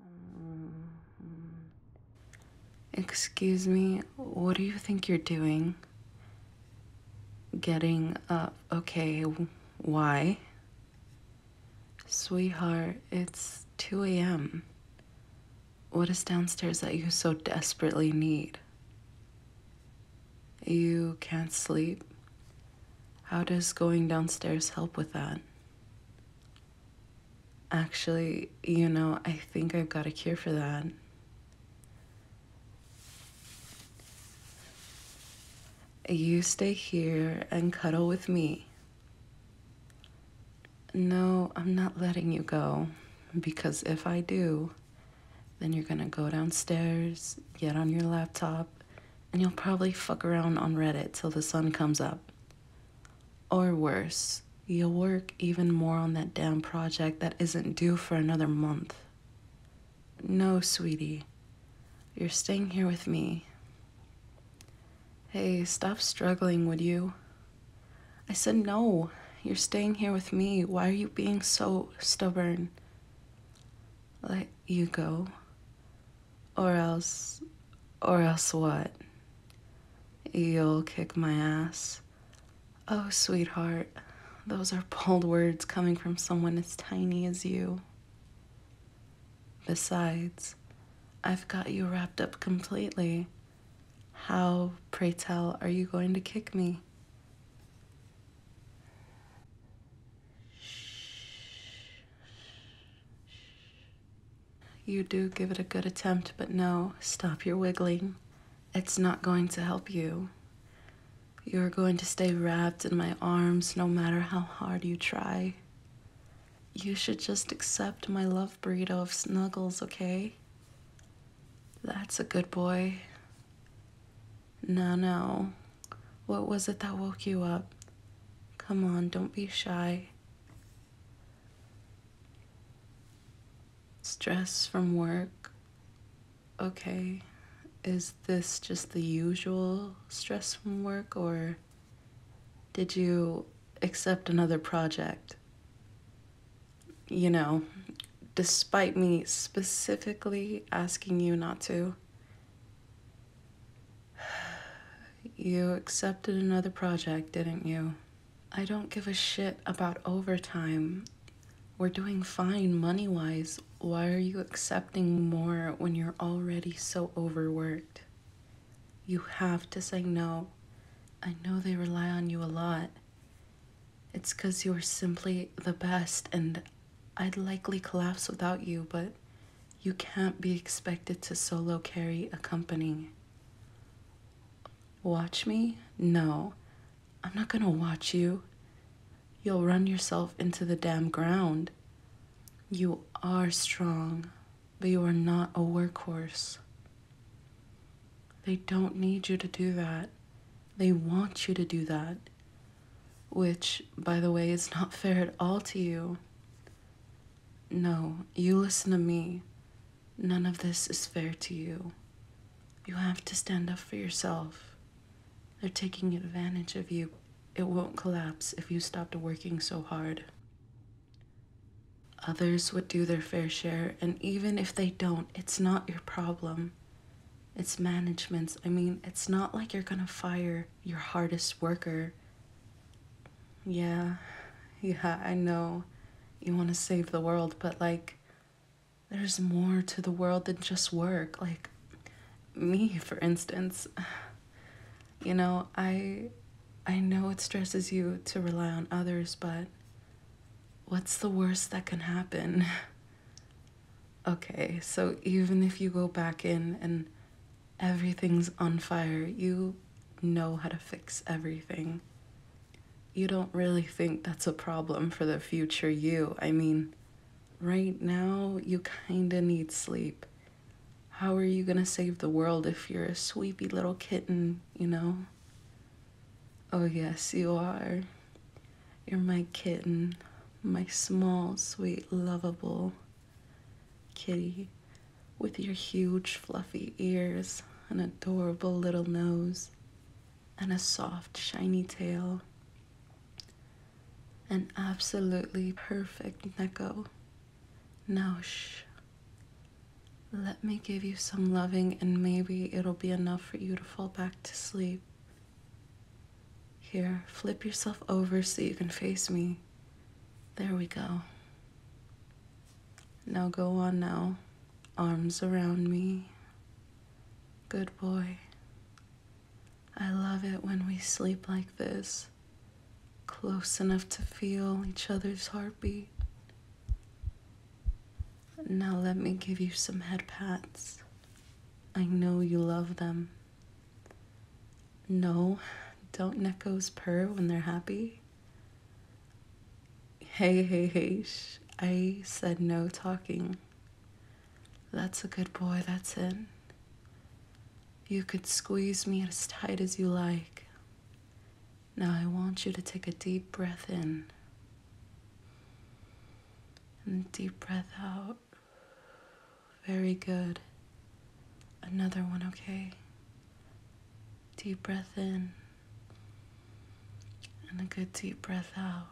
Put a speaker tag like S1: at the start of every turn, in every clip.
S1: Mm-hmm. Excuse me, what do you think you're doing? Getting up. Okay, why? Sweetheart, it's 2 a.m. What is downstairs that you so desperately need? You can't sleep. How does going downstairs help with that? Actually, you know, I think I've got a cure for that. You stay here and cuddle with me. No, I'm not letting you go, because if I do, then you're gonna go downstairs, get on your laptop, and you'll probably fuck around on Reddit till the sun comes up. Or worse, you'll work even more on that damn project that isn't due for another month. No, sweetie. You're staying here with me. Hey, stop struggling, would you? I said, No, you're staying here with me. Why are you being so stubborn? Let you go. Or else, or else what? You'll kick my ass. Oh, sweetheart, those are bold words coming from someone as tiny as you. Besides, I've got you wrapped up completely. How, pray tell, are you going to kick me? You do give it a good attempt, but no, stop your wiggling. It's not going to help you. You're going to stay wrapped in my arms no matter how hard you try. You should just accept my love burrito of snuggles, okay? That's a good boy. No, no. What was it that woke you up? Come on, don't be shy. Stress from work. Okay. Is this just the usual stress from work, or did you accept another project? you know, despite me specifically asking you not to, you accepted another project, didn't you? I don't give a shit about overtime. We're doing fine money wise. Why are you accepting more when you're already so overworked? You have to say no. I know they rely on you a lot. It's because you're simply the best, and I'd likely collapse without you, but you can't be expected to solo carry a company. Watch me? No, I'm not gonna watch you. You'll run yourself into the damn ground. You are strong, that you are not a workhorse. They don't need you to do that. They want you to do that, which, by the way, is not fair at all to you. No, you listen to me. None of this is fair to you. You have to stand up for yourself. They're taking advantage of you. It won't collapse if you stopped working so hard. Others would do their fair share, and even if they don't, it's not your problem. It's management's. I mean, it's not like you're gonna fire your hardest worker. Yeah, yeah, I know you wanna save the world, but like, there's more to the world than just work. Like, me, for instance. You know, I I know it stresses you to rely on others, but what's the worst that can happen? okay, so even if you go back in and everything's on fire, you know how to fix everything. You don't really think that's a problem for the future you. I mean, right now you kind of need sleep how are you gonna save the world if you're a sleepy little kitten, you know? Oh, yes, you are. You're my kitten, my small, sweet, lovable kitty with your huge, fluffy ears, an adorable little nose, and a soft, shiny tail an absolutely perfect Neko. Now, shh. Let me give you some loving, and maybe it'll be enough for you to fall back to sleep. Here, flip yourself over so you can face me. There we go. Now go on now. Arms around me. Good boy. I love it when we sleep like this, close enough to feel each other's heartbeat. Now, let me give you some head pats. I know you love them. No, don't geckos purr when they're happy? Hey, hey, hey, I said no talking. That's a good boy, that's it. You could squeeze me as tight as you like. Now I want you to take a deep breath in and deep breath out. Very good. Another one, okay? Deep breath in and a good deep breath out.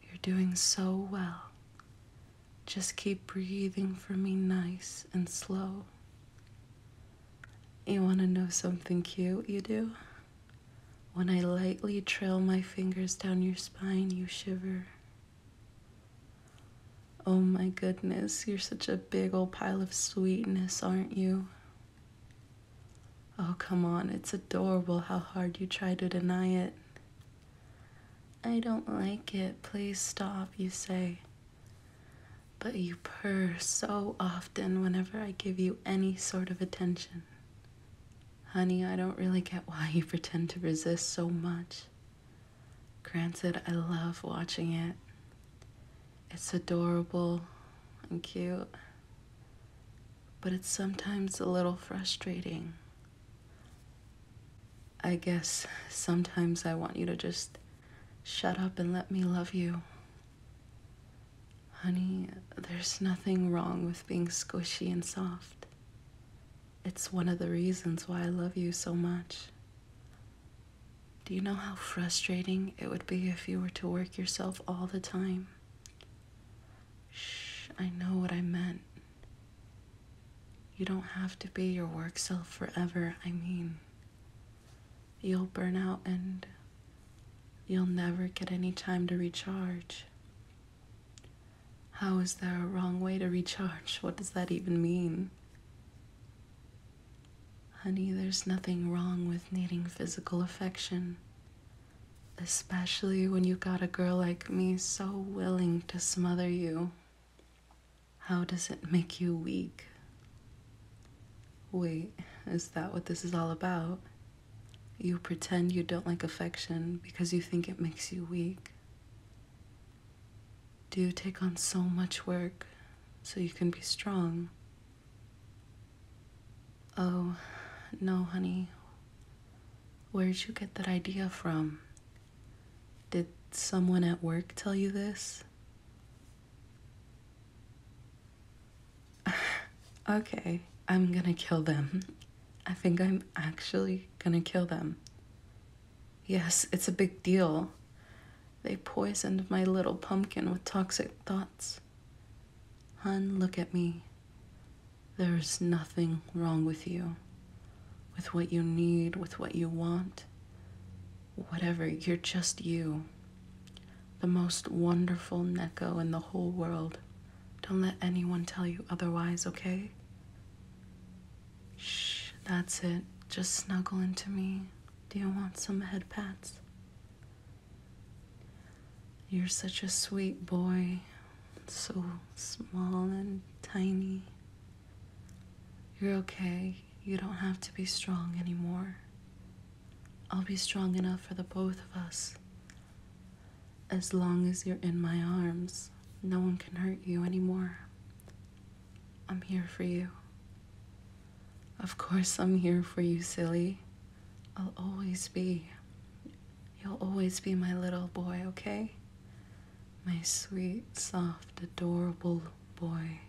S1: You're doing so well. Just keep breathing for me nice and slow. You want to know something cute you do? When I lightly trail my fingers down your spine, you shiver. Oh my goodness, you're such a big old pile of sweetness, aren't you? Oh, come on, it's adorable how hard you try to deny it. I don't like it, please stop, you say. But you purr so often whenever I give you any sort of attention. Honey, I don't really get why you pretend to resist so much. Granted, I love watching it. It's adorable and cute, but it's sometimes a little frustrating. I guess sometimes I want you to just shut up and let me love you. Honey, there's nothing wrong with being squishy and soft. It's one of the reasons why I love you so much. Do you know how frustrating it would be if you were to work yourself all the time? Shh, I know what I meant. You don't have to be your work self forever, I mean. You'll burn out and you'll never get any time to recharge. How is there a wrong way to recharge? What does that even mean? Honey, there's nothing wrong with needing physical affection, especially when you got a girl like me so willing to smother you. How does it make you weak? Wait, is that what this is all about? You pretend you don't like affection because you think it makes you weak. Do you take on so much work so you can be strong Oh, no, honey. Where'd you get that idea from? Did someone at work tell you this? okay, I'm gonna kill them. I think I'm actually gonna kill them. Yes, it's a big deal. They poisoned my little pumpkin with toxic thoughts. Hun, look at me. There's nothing wrong with you, with what you need, with what you want. Whatever, you're just you. The most wonderful Neko in the whole world. Don't let anyone tell you otherwise, okay? Shh, that's it. Just snuggle into me. Do you want some head pats? You're such a sweet boy, so small and tiny. You're okay. You don't have to be strong anymore. I'll be strong enough for the both of us. As long as you're in my arms, no one can hurt you anymore. I'm here for you. Of course, I'm here for you, silly. I'll always be. You'll always be my little boy, okay? My sweet, soft, adorable boy.